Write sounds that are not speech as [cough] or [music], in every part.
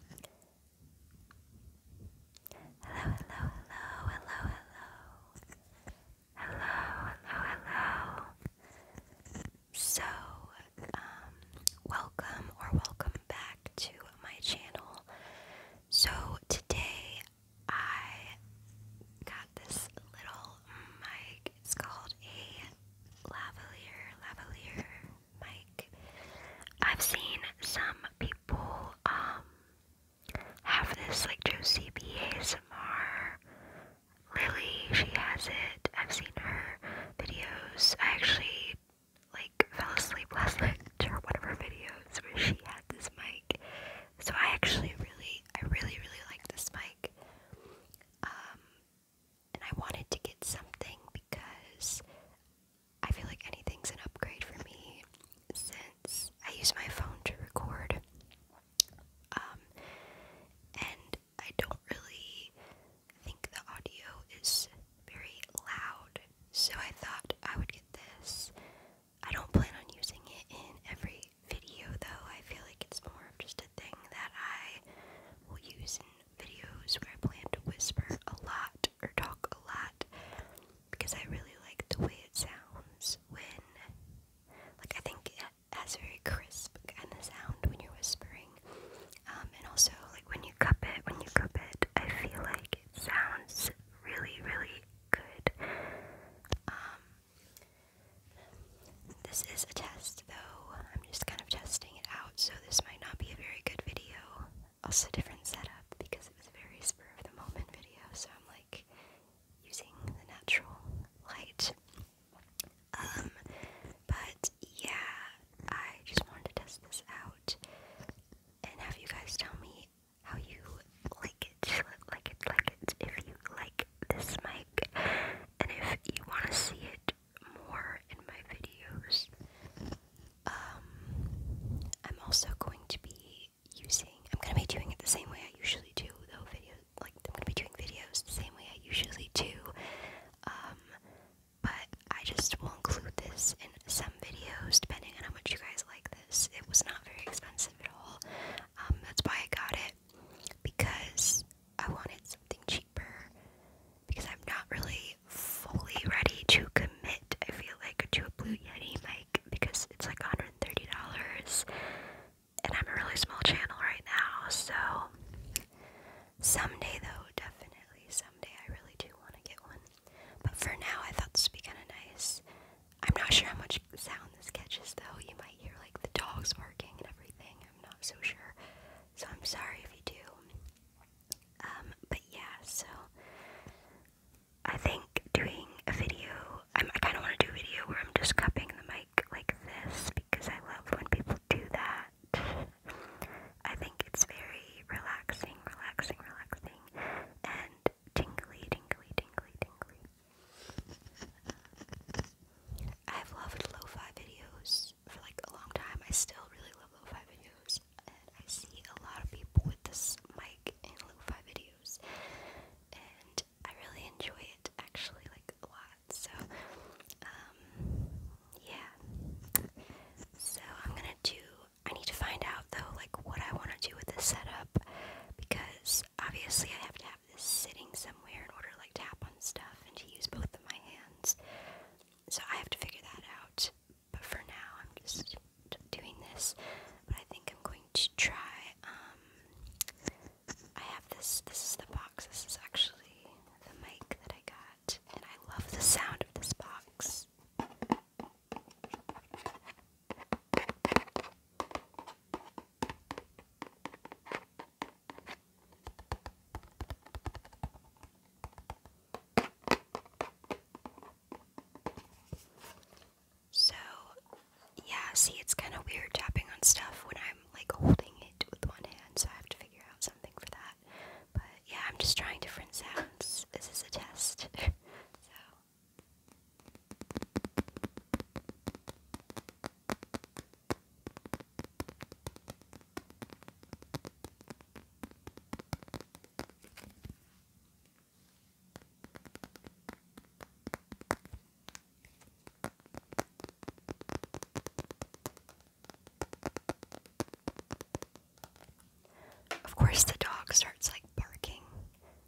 hello, hello, hello, hello. Hello, hello, hello. So, um, welcome or welcome back to my channel. So, today I got this little mic. It's called a lavalier, lavalier, mic. I've seen some people um have this like Josie B ASMR. Lily, she has it. I've seen her videos. I actually like fell asleep last [laughs] night to one of her videos where she had this mic. So I actually really I really really like this mic. Um and I wanted to get something because I feel like anything's an upgrade for me since I use my phone to record. Um, and I don't really think the audio is very loud, so I thought I would get this. I don't plan on using it in every video though, I feel like it's more of just a thing that I will use in videos where I plan to whisper a lot or talk a lot because I really like the way it sounds when, like, I think it has a very crisp kind of sound when you're whispering. Um, and also, like, when you cup it, when you cup it, I feel like it sounds really, really good. Um, this is a test though. I'm just kind of testing it out, so this might not be a very good video. Also, different setup because it was a very spur of the moment video, so I'm like using the natural light. Um, but yeah, I just wanted to test this out and have you guys tell me how you like it, [laughs] like it, like it, if you like this mic, and if you want to see it more in my videos. Um, I'm also going to be using, I'm going to be doing it the same way I usually do, though, videos, like, I'm going to be doing videos the same way I usually do, um, but I just will include this in some videos, depending on how much you guys like this. It was not very expensive at all, um, that's why I got it, because I wanted something cheaper because I'm not really fully ready to commit, I feel like, to a Blue Yeti mic because it's like $130 and I'm a really small channel right now, so someday though, definitely someday I really do want to get one. But for now, I thought this would be kind of nice. I'm not sure how much sound this catches though. You might hear like the dogs barking and everything. I'm not so sure. So I'm sorry if you do. Um, but yeah, so I think doing a video, I kind of want to do a video where I'm just cupping the mic like this because I love when people do that. I think it's very relaxing, relaxing, relaxing, and tingly, tingly, tingly, tingly. I've loved lo-fi videos for like a long time. I still really love lo-fi videos, and I see a lot of people with this mic in lo-fi videos, and I really enjoy it actually like a lot. So, um, yeah. So I'm gonna do. I need to find out though, like what I want to do with this setup, because obviously I have to sitting somewhere in order to like tap on stuff and to use both of my hands. So I have to figure that out. But for now, I'm just doing this. But I think I'm going to try. Um, I have this. This is the box. This is actually the mic that I got, and I love the sound of this box. So, yeah, see, it's kind of weird tapping on stuff when I'm like holding it with one hand, so I have to figure out something for that. But yeah, I'm just trying different sounds. This is a test. [laughs] so. Of course, the dog starts like barking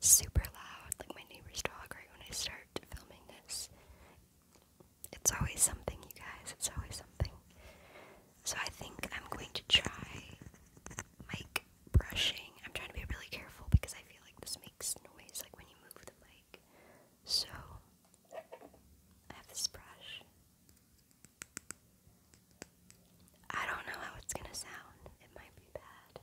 super loud, like my neighbor's dog, right when I start filming this. It's always something, you guys. It's always something. So I think I'm going to try mic brushing. I'm trying to be really careful because I feel like this makes noise, like when you move the mic. So I have this brush. I don't know how it's gonna sound. It might be bad.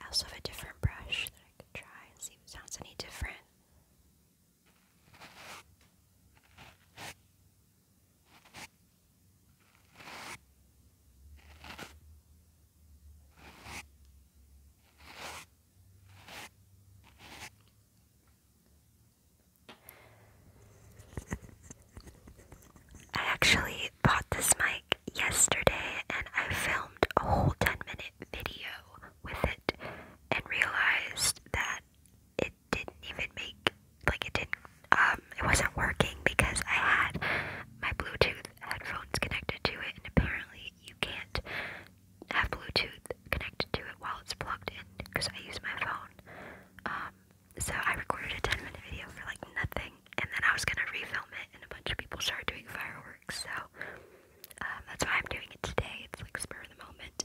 I also have a different brush that I can try and see if it sounds any different. I actually bought this mic yesterday and I filmed a whole 10 minute video with it and realized that it didn't even make like it didn't um it wasn't working because I had my Bluetooth headphones connected to it and apparently you can't have Bluetooth connected to it while it's plugged in because I use my phone. Um so I recorded a 10 minute video for like nothing, and then I was gonna refilm it, and a bunch of people started doing fireworks, so um, that's why I'm doing it today. It's like spur of the moment,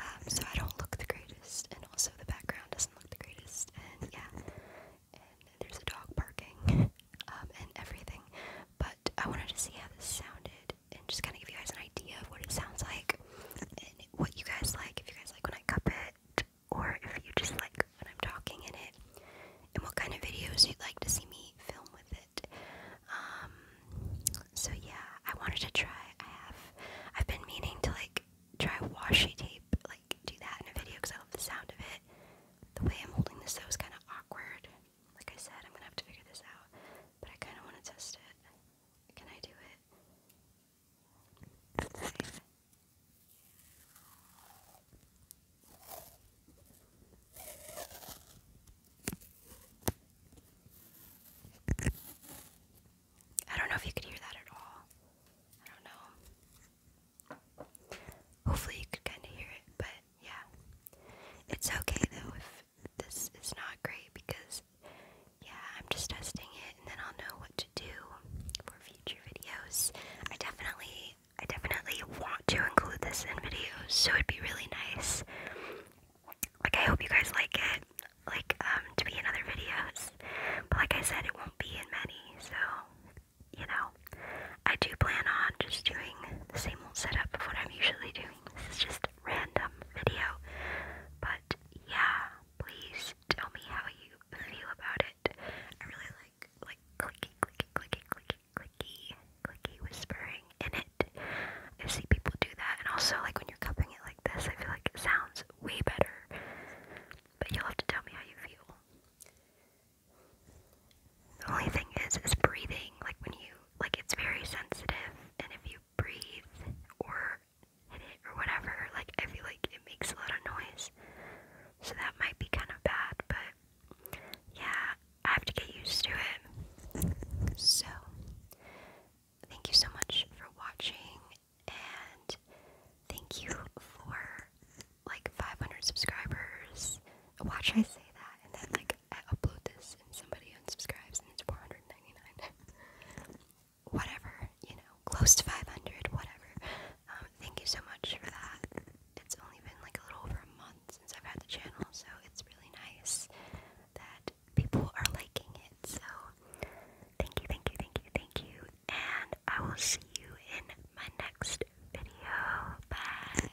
um, so I don't look the greatest, and also the background doesn't look the greatest, and yeah, and there's a dog barking um, and everything, but I wanted to see how this sounded and just kind of give you guys an idea of what it sounds like what you guys like, if you guys like when I cup it, or if you just like when I'm talking in it, and what kind of videos you'd like to see me film with it. Um, so yeah, I wanted to try. I have, I've been meaning to like try washi tape, like do that in a video because I love the sound of it. The way I'm holding this though is kind of awkward. Like I said, I'm gonna have to figure this out, but I kind of want to test it. Can I do it? I don't know if you could hear that at all. I don't know. Hopefully, you could kind of hear it, but yeah. It's okay though if this is not great because, yeah, I'm just testing it, and then I'll know what to do for future videos. I definitely, I definitely want to include this in videos, so it'd be really nice. Like, I hope you guys like it, like, um, to be in other videos. But like I said, it won't be in many, so you know, I do plan on just doing the same old setup of what I'm usually doing. This is just random video. But yeah, please tell me how you feel about it. I really like like clicky, clicky, clicky, clicky, clicky, clicky whispering in it. I see people do that, and also like when you're cupping it like this, I feel like it sounds way better. But you'll have to tell me how you feel. The only thing is, is breathing. Like when you, like it's very sensitive, and if you breathe or hit it or whatever. Like, I feel like it makes a lot of noise. So that might be kind of bad, but yeah, I have to get used to it. So, thank you so much for watching, and thank you for like 500 subscribers. Watch I say that? And then, like, I upload this and somebody unsubscribes and it's 499. [laughs] whatever, you know, close to 500, whatever. Um, thank you so much for that. It's only been like a little over a month since I've had the channel, so it's really nice that people are liking it. So, thank you, thank you, thank you, thank you. And I will see you in my next video. Bye.